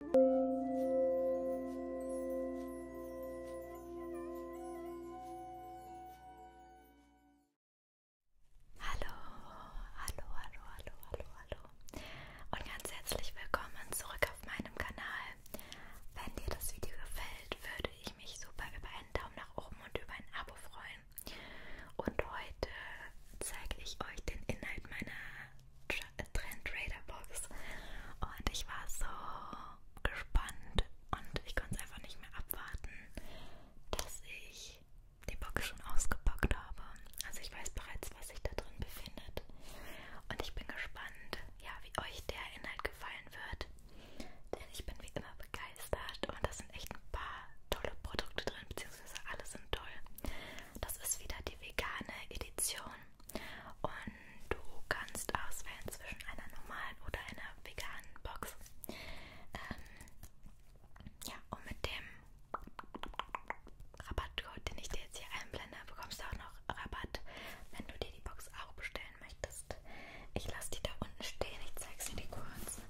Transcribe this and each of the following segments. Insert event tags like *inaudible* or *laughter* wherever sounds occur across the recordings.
Hallo, hallo, hallo, hallo, hallo, hallo und ganz herzlich willkommen zurück auf meinem Kanal. Wenn dir das Video gefällt, würde ich mich super über einen Daumen nach oben und über ein Abo freuen. Und heute zeige ich euch den Inhalt meiner Trend-Trader Box und ich war so gespannt und ich konnte es einfach nicht mehr abwarten, dass ich die Box schon ausgepackt habe. Also ich weiß bereits, was sich da drin befindet und ich bin gespannt, ja, wie euch der Inhalt gefallen wird, denn ich bin wie immer begeistert und da sind echt ein paar tolle Produkte drin, beziehungsweise alle sind toll. Das ist wieder die vegane Edition und du kannst auswählen zwischen einer normalen oder einer veganen Box. Ähm, ja, und mit dem Rabattcode, den ich dir jetzt hier einblende, bekommst du auch noch Rabatt, wenn du dir die Box auch bestellen möchtest. Ich lasse die da unten stehen, ich zeig's dir die kurz.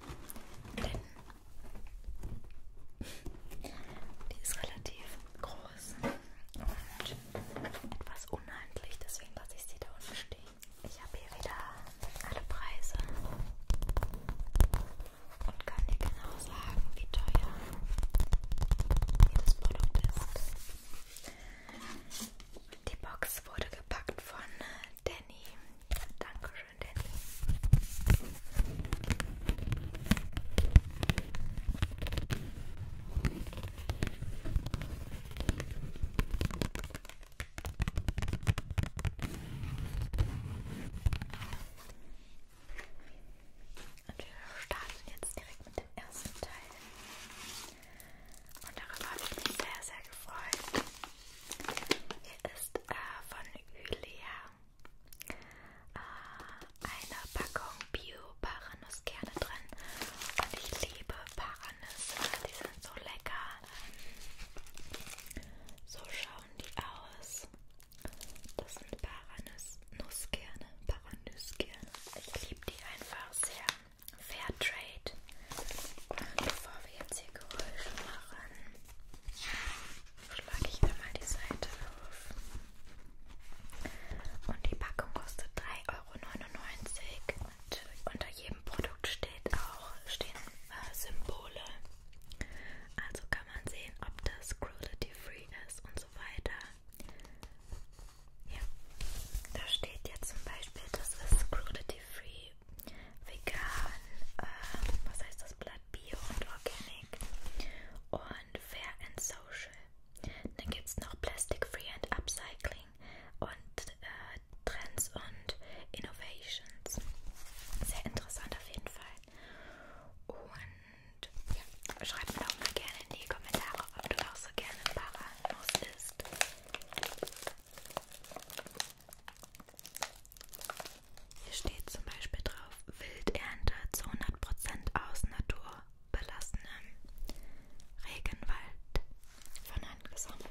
Denn *laughs* die ist relativ groß aus und etwas unhandlich, deswegen lasse ich sie da unten stehen. Ich habe hier wieder alle Preise und kann dir genau sagen, wie teuer jedes Produkt ist. Die Box wurde gepackt von Danny. Dankeschön, Danny. Und wir starten jetzt direkt mit dem ersten Teil. Und darüber habe ich mich sehr, sehr gefreut. Hier ist äh, von Julia äh, eine Packung Bio-Paranusskerne drin. Und ich liebe Paranüsse, die sind so lecker. So schauen die aus. Das sind Paranusskerne. Paranusskerne. Ich liebe die einfach sehr. Fairtrade. Und bevor wir jetzt hier Geräusche machen, schlage ich einmal die Seite auf. Und die Packung kostet 3,99 Euro. Und unter jedem Produkt steht auch, stehen äh, Symbole. Also kann man sehen, ob das cruelty-free ist und so weiter. Ja, da steht jetzt zum Beispiel, das ist cruelty-free, vegan, ähm, was heißt das Blatt, bio und organic und fair and social. Dann gibt es noch Plastic Free and Upcycling und äh, Trends und Innovations. Sehr interessant auf jeden Fall. Und ja, schreib mir doch mal gerne in die Kommentare, ob du auch so gerne Paranuss isst. Hier steht zum Beispiel drauf: Wildernte zu 100% aus Natur belassenen Regenwald von Hand gesammelt.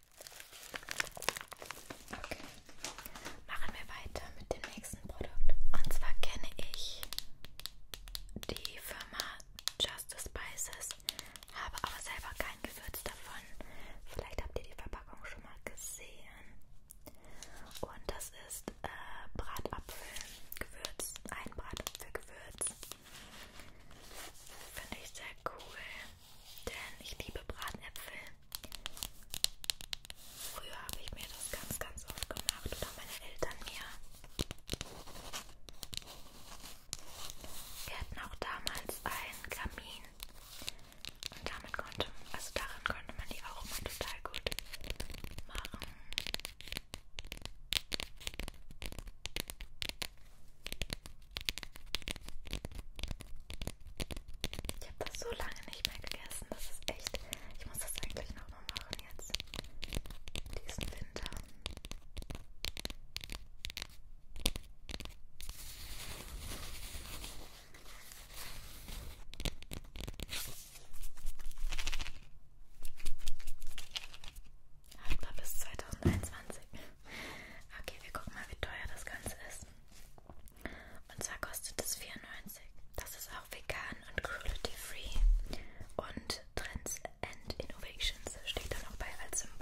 Okay. Machen wir weiter mit dem nächsten Produkt. Und zwar kenne ich die Firma Just Spices, habe aber selber kein Gewürz davon. Vielleicht habt ihr die Verpackung schon mal gesehen. Und das ist äh, Bratapfelgewürz, ein Bratapfelgewürz. Finde ich sehr cool denn ich liebe Bratenäpfel. Früher habe ich mir das ganz, ganz oft gemacht oder meine Eltern mir. Wir hatten auch damals einen Kamin und damit konnte, also daran konnte man die auch immer total gut machen. Ich habe das so lange nicht mehr gegessen. Das ist echt. Ich muss das eigentlich nochmal machen jetzt. Diesen Winter. Haltbar bis 2021. Okay, wir gucken mal, wie teuer das Ganze ist. Und zwar kostet es 4,90. Das ist auch vegan und cruelty-free. Und Trends and Innovations steht da noch bei als Symbol.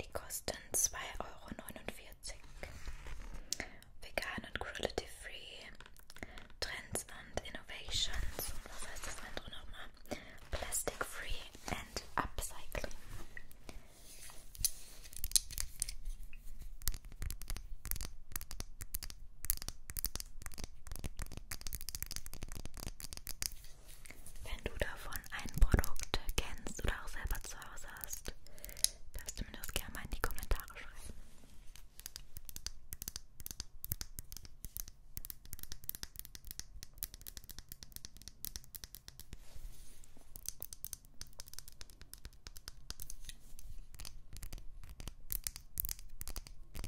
die kosten 2,49 Euro. Vegan und Cruelty Free. Trends and Innovations. Und was heißt das andere nochmal? Plastic Free and Upcycling. Wenn du davon ein Produkt kennst oder auch selber zu Hause hast, darfst du mir das gerne mal in die Kommentare schreiben.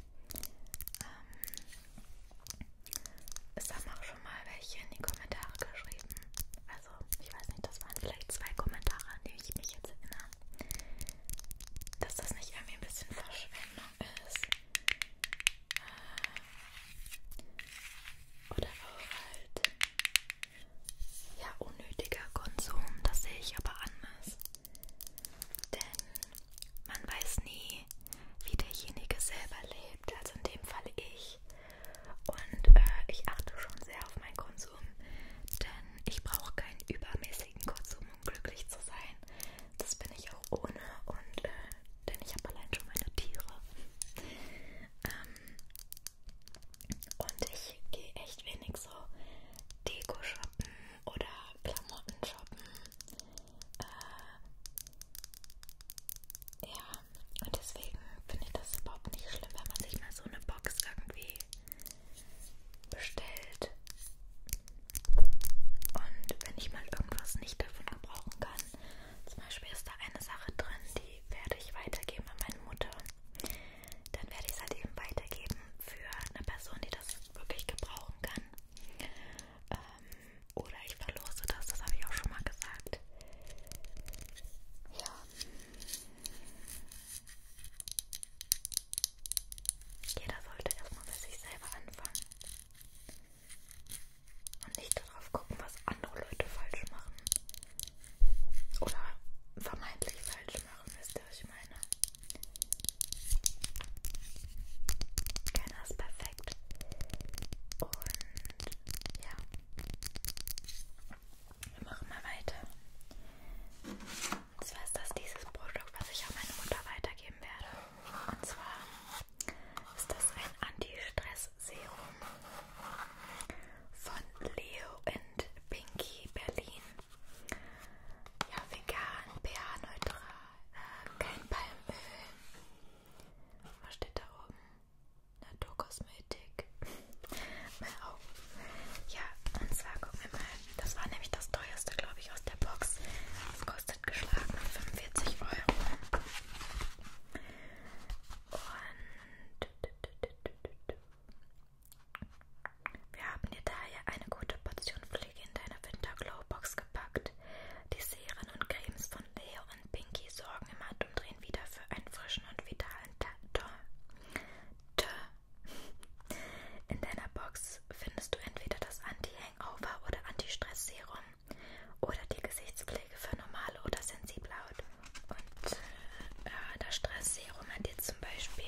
Ähm, es haben auch schon mal welche in die Kommentare geschrieben. Also, ich weiß nicht, das waren vielleicht zwei Kommentare, an die ich mich jetzt erinnere. Dass das nicht irgendwie ein bisschen Verschwendung ist. Äh, oder auch halt. Ja, unnötiger Konsum, das sehe ich aber anders. Denn man weiß nie, wie derjenige selber lebt, also in dem Fall ich. Und äh, ich achte schon sehr auf meinen Konsum, denn ich brauche keinen übermäßigen Konsum, um glücklich zu sein. Das bin ich auch ohne und äh, denn ich habe allein schon meine Tiere. ähm, und ich gehe echt wenig so Deko shoppen oder Klamotten shoppen. Äh, ja, und deswegen finde ich das überhaupt nicht schlimm, wenn man sich mal so eine Box irgendwie bestellt. Und wenn ich mal irgendwas nicht davon gebrauchen kann, zum Beispiel ist da eine Sache drin, die werde ich weitergeben an meine Mutter, dann werde ich es halt eben weitergeben für eine Person, die das wirklich gebrauchen kann. Ähm, oder ich verlose das, das habe ich auch schon mal gesagt. Ja. Jeder sollte erstmal bei sich selber anfangen. Und nicht darauf gucken, was andere Leute falsch machen. Oder vermeintlich falsch machen, wisst ihr, was ich meine? Keiner ist perfekt gezeigt. Und ja, wir machen mal weiter. Und zwar ist das dieses Produkt, was ich an meine Mutter weitergeben werde. Und zwar ist das ein Anti-Stress-Serum von Leo and Pinky Berlin. Ja, vegan, pH-neutral. Kein Palmöl. Was steht da oben? Naturkosmetik. Mal auf. Ja, und zwar gucken wir mal. Das war nämlich das teuerste, glaube ich, aus der Box. Das kostet geschlagen 45 Euro. Und wir haben dir daher eine gute Portion Pflege in deiner Winterglow-Box ausgepackt. Die Serien und Cremes von Leo und Pinky sorgen im Handumdrehen wieder für einen frischen und vitalen Tag. In deiner Box findest du entweder das Anti-Hangover oder Anti-Stress-Serum oder die Gesichtspflege für normale oder sensible Haut. Und äh, äh das Stress-Serum hat jetzt zum Beispiel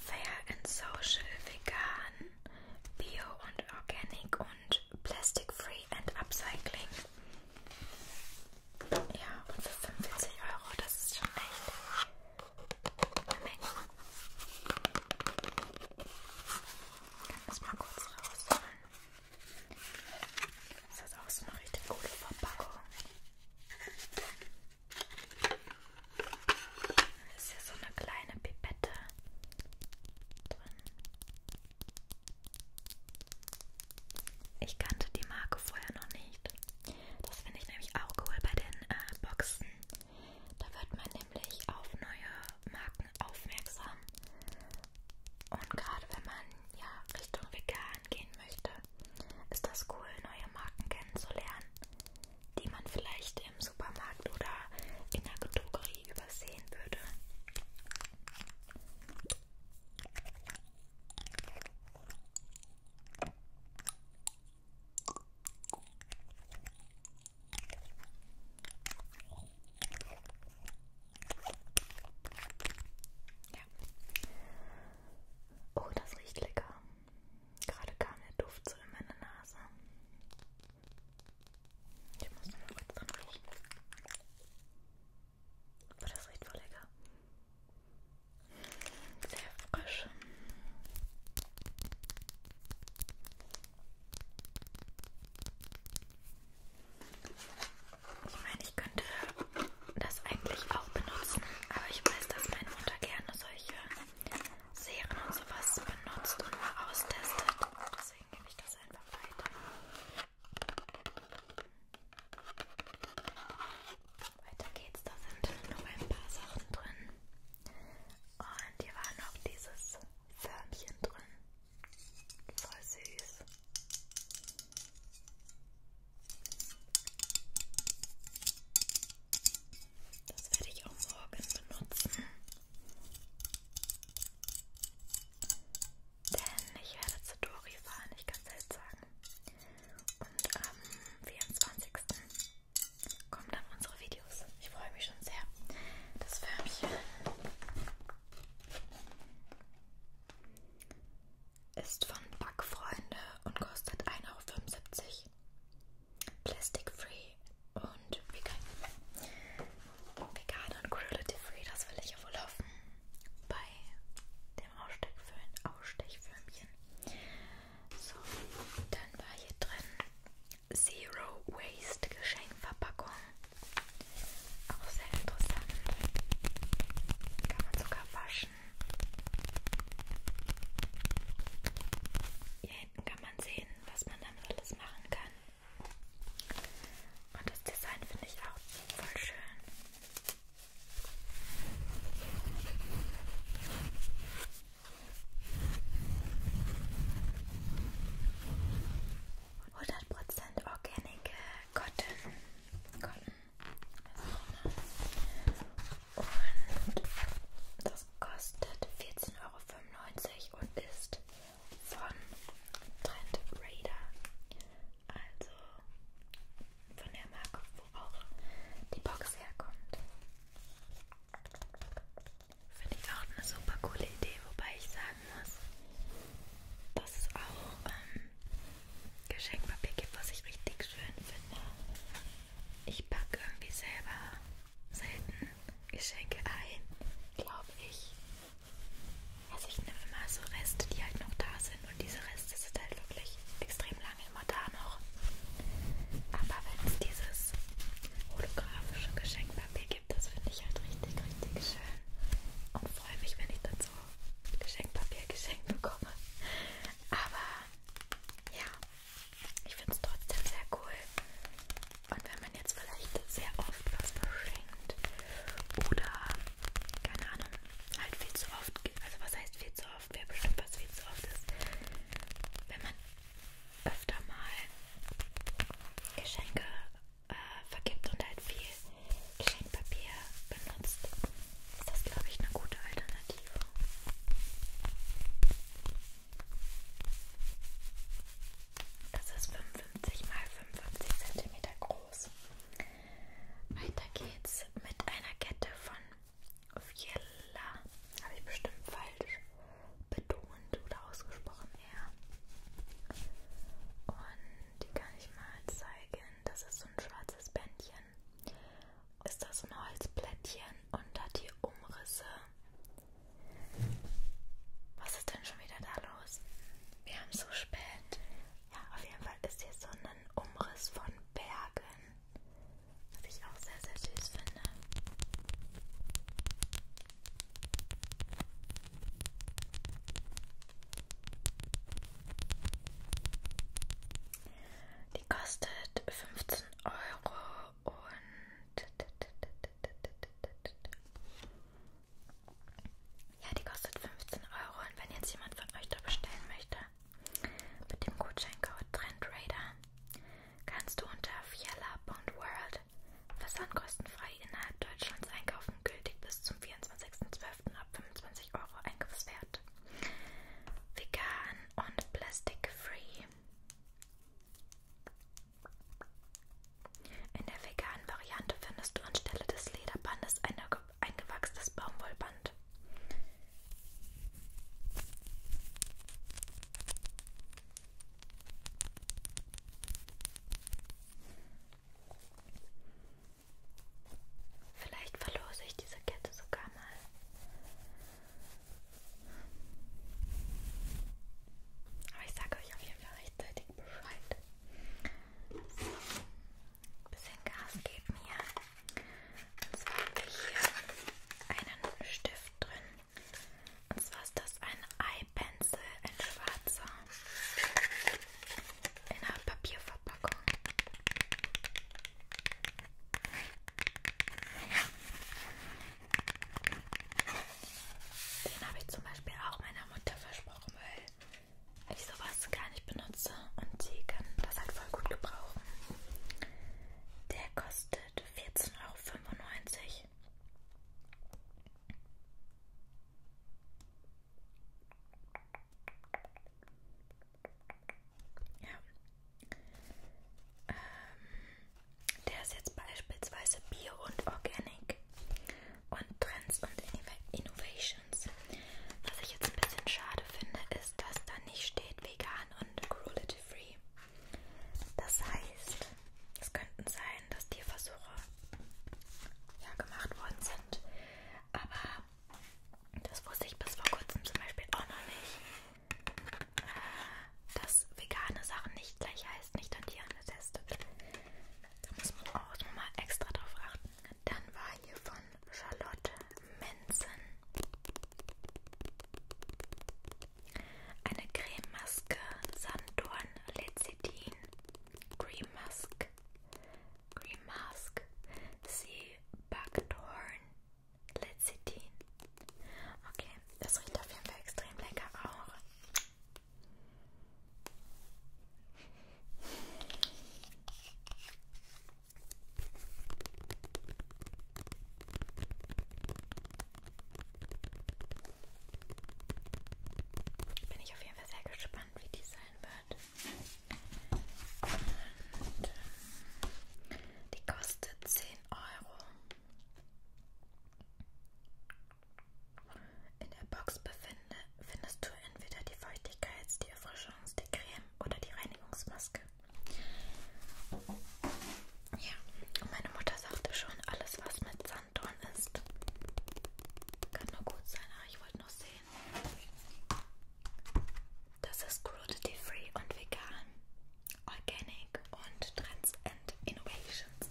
Fair and Social Vegan Bio und Organic und Plastic Free and Upcycling. Ja, und für 45 Euro, das ist schon echt eine Menge. Ich kann das mal kurz rausholen. Das ist auch so eine richtig coole Verpackung. Das ist ja so eine kleine Pipette. Da drin. Ich kannte die Marke vorher noch nicht. Das finde ich nämlich auch cool bei den äh, Boxen. Da wird man nämlich auf neue Marken aufmerksam. Und gerade wenn man ja Richtung vegan gehen möchte, ist das cool, neue Marken kennenzulernen, die man vielleicht nicht im Supermarkt oder in der Drogerie übersehen würde. Ja. Oh, das riecht lecker. Gerade kam der Duft so in meine Nase. Ich muss nur mal kurz dran riechen. Aber das riecht voll lecker. Sehr frisch. Ich meine, ich könnte das eigentlich auch benutzen, aber ich weiß, dass meine Mutter gerne solche Serien und sowas benutzt und mal austestet. Deswegen deswegen gebe ich das einfach weiter. Weiter geht's, da sind noch ein paar Sachen drin. Und hier war noch dieses Förmchen drin. Voll süß. Das werde ich auch morgen benutzen. Denn ich werde zu Dori fahren, ich kann es halt sagen. Und am 24. kommen dann unsere Videos. Ich freue mich schon sehr. Das Förmchen ist von Backfreunde und kostet 1,75 Euro. Plastic Free und vegan. Vegan und cruelty-free, das will ich ja wohl hoffen. Bei dem Ausstechfilm, Ausstechfilmchen. So, dann war hier drin Zero Waste Geschenkverpackung. Auch sehr interessant. Kann man sogar waschen. Hier hinten kann man sehen, was man damit alles machen kann. Und das Design finde ich auch voll schön. Hundert Prozent Organic äh, Cotton. Cotton. Und das kostet 14,95 Euro und ist von Trend Raider, also von der Marke, wo auch die Box herkommt. Finde ich auch eine super coole Idee, wobei ich sagen muss, dass es auch ähm, Geschenkpapier gibt, was ich richtig schön finde. Ich packe irgendwie selber selten Geschenke ein, glaube ich. Also ich nehme immer so Reste, die halt noch da sind und diese Reste sind halt wirklich extrem lange immer da noch. Aber wenn es dieses holographische Geschenkpapier gibt, das finde ich halt richtig, richtig schön und freue mich, wenn ich dann so Geschenkpapier geschenkt bekomme. Aber ja, ich finde es trotzdem sehr cool, und wenn man jetzt vielleicht sehr oft was verschenkt oder, keine Ahnung, halt viel zu oft, also was heißt viel zu oft, wer bestimmt was viel zu oft ist, wenn man öfter mal Geschenke äh, vergibt und halt viel Geschenkpapier benutzt, ist das, glaube ich, eine gute Alternative. Das ist 55 x 55 cm groß. Weiter geht's mit einer Kette von Viella. Habe ich bestimmt falsch betont oder ausgesprochen eher. Und die kann ich mal zeigen. Das ist so ein schwarzes Bändchen. Ist das ein Holzplättchen und hat hier Umrisse was ist denn schon wieder da los? Wir haben so spät. Ja, auf jeden Fall ist hier so ein Umriss von Bergen. Was ich auch sehr, sehr süß finde. Die kostet 15 Euro und ja, die kostet 15 Euro und wenn jetzt jemand von euch da bestellen möchte, mit dem Gutscheincode TrendRadar kannst du unter fiella.world versandkostenfrei innerhalb Deutschlands einkaufen, gültig bis zum 24.12. ab 25 Euro Einkaufswert. Vegan und plastic free. In der veganen Variante findest du anstelle des Lederbandes ein eingewachstes Baumwollband. Vielleicht verlose ich diese Kette sogar mal. Aber ich sage euch auf jeden Fall rechtzeitig rechtzeitig Bescheid. So, ein bisschen Gas geben hier. Und zwar habe ich hier einen Stift drin. Und zwar ist das ein Eye Pencil, ein schwarzer. In einer Papierverpackung. Den habe ich zum Beispiel auch meiner Mutter versprochen, weil ich sowas gar nicht benutze und sie kann das halt voll gut gebrauchen. Der kostet 14,95 Euro. Ja. Ähm, der ist jetzt beispielsweise Bio und Organic und Trends und Innovations. Was ich jetzt ein bisschen schade finde, ist, dass da nicht steht vegan und cruelty free. Das heißt, es könnten sein, dass Tierversuche ja gemacht worden sind, aber das wusste ich bis vor kurzem zum Beispiel auch noch nicht, äh, dass vegane Sachen nicht gleich heißt nicht an Tieren getestet. Da muss man auch nochmal extra drauf achten. Dann war hier von Charlotte Manson eine Crememaske Sanddorn Lecithin Cream Mask Cream Mask Sea Buckthorn Lecithin Okay, das riecht auf jeden Fall extrem lecker auch. Bin ich auf jeden Fall sehr gespannt, wie die sein wird. Und die kostet 10 Euro. In der Box befinde, findest du entweder die Feuchtigkeits-, die Erfrischungs-, die Creme oder die Reinigungsmaske. Ja, und meine Mutter sagte schon, alles was mit Sanddorn ist, kann nur gut sein. Ah, ich wollte noch sehen. Das ist cruelty-free und vegan, organic und trans and innovations.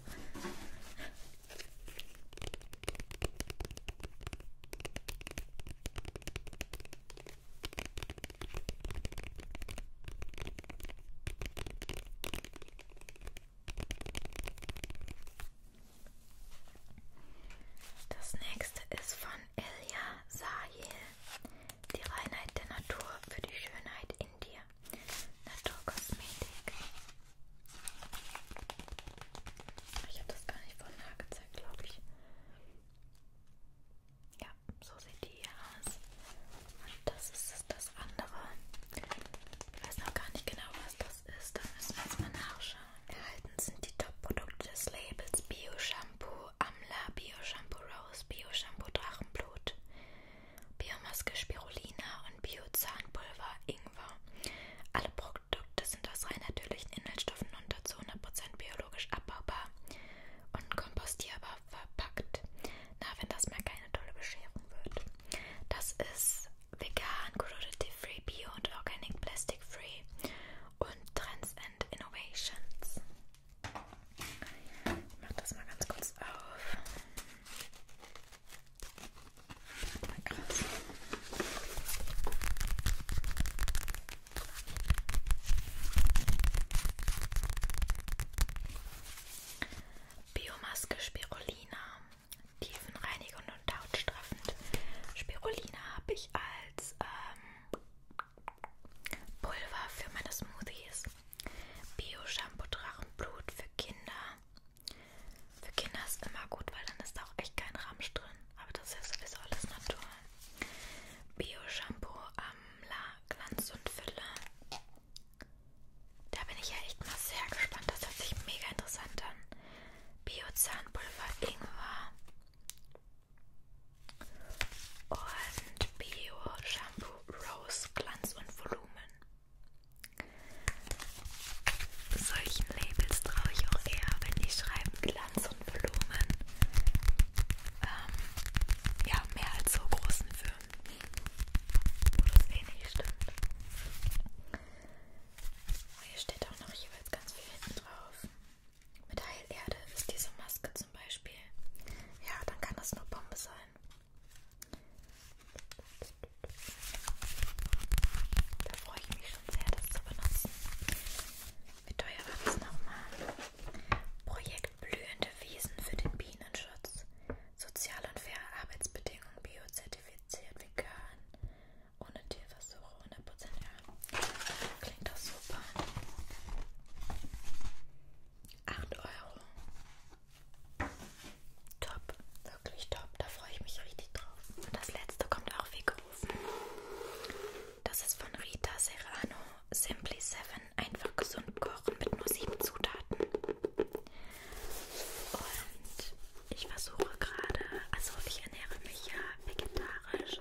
Das nächste ist von Ilya Sahil. Die Reinheit der Natur für die Schönheit in dir. Naturkosmetik. Ich habe das gar nicht von nah gezeigt, glaube ich. Ja, so sieht die hier aus. Und das ist das andere. Ich weiß noch gar nicht genau, was das ist. Da müssen wir jetzt mal nachschauen. Erhalten sind die Top-Produkte des Labels Bio-Shampoo, Amla, Bio-Shampoo Rose, Bio-Shampoo Drachenblut, Biomaske Spirulina und Bio-Zahnpulver Ink war. Alle Produkte sind aus rein natürlichen Inhaltsstoffen und dazu 100% biologisch abbaubar und kompostierbar verpackt. Na, wenn das mal keine tolle Bescherung wird. Das ist vegan, cruelty free, bio und organic plastic free und Trends and Innovations. Ich mach das mal ganz kurz auf. Krass. Biomaske Spirulina, tiefenreinigend und hautstraffend. Spirulina habe ich als ähm, Pulver für meine Smoothies. Bio-Shampoo Drachenblut für Kinder. Für Kinder ist immer gut, weil dann ist da auch echt kein Ramsch drin. Aber das ist ja sowieso alles Natur. Bio-Shampoo, Amla, Glanz und Fülle. Da bin ich ja echt mal sehr gespannt. Das hört sich mega interessant an. Bio-Zahnpulver, Ingwer. Und Bio-Shampoo, Rose, Glanz und Volumen. Solchen Labels traue ich auch eher, wenn die schreiben Glanz und Volumen. Ähm, ja, mehr als so großen Firmen, wo das wenig eh stimmt. Oh, hier steht auch noch jeweils ganz viel hinten drauf. Mit Heilerde ist diese Maske zum Beispiel. Ja, dann kann das nur Bombe sein. Da freue ich mich schon sehr, das zu benutzen. Wie teuer war das nochmal? Projekt Blühende Wiesen für den Bienenschutz. Soziale und faire Arbeitsbedingungen, biozertifiziert, vegan, ohne Tierversuche, 100% ja. Klingt doch super. 8 Euro. Top, wirklich top. Da freue ich mich richtig drauf. Und das letzte kommt auch wie gerufen. Das ist von Rita Serrano. Simply 7. Einfach gesund kochen mit nur 7 Zutaten. Und ich versuche gerade, also ich ernähre mich ja vegetarisch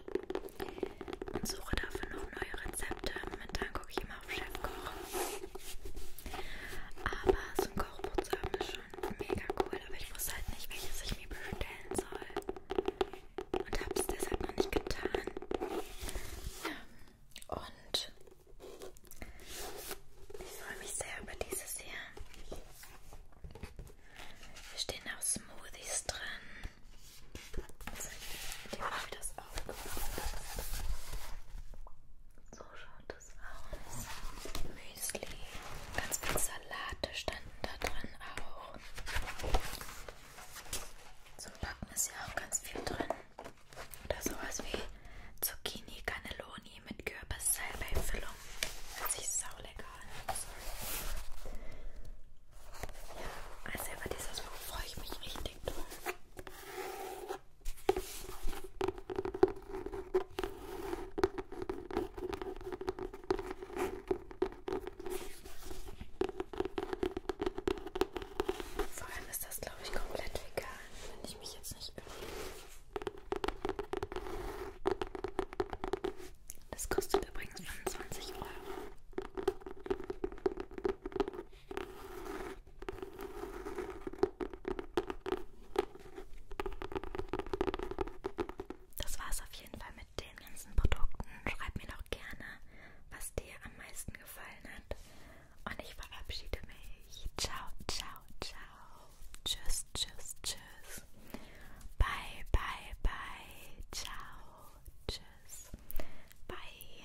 und suche dafür noch neue Rezepte. Momentan gucke ich immer auf Chefkoch. Aber so ein Kochbuch zu haben ist schon mega cool, aber ich wusste halt nicht, welches ich mir bestellen soll. Und hab's deshalb noch nicht getan. Ja. Und ich freue mich sehr über dieses hier. Hier stehen auch Smoothies drin. Jetzt ich mal, wie das aufgebaut ist. So schaut das aus. Müsli, ganz viel Salate standen da drin auch. Zum Backen ist ja auch ganz viel drin. Oder sowas wie Zucchini Cannelloni mit Kürbis-Salbei-Füllung. Hört sich saulecker an. Sorry. Ja, also über dieses Buch freue ich mich richtig doll. Vor allem ist das, glaube ich, komplett vegan, wenn ich mich jetzt nicht irre. Das kostet übrigens 25 Euro. Das war's auf jeden Fall mit den ganzen Produkten. Schreib mir doch gerne, was dir am meisten gefallen hat. Und ich verabschiede mich. Ciao, ciao, ciao. Tschüss, tschüss, tschüss. Bye, bye, bye. Ciao, tschüss. Bye.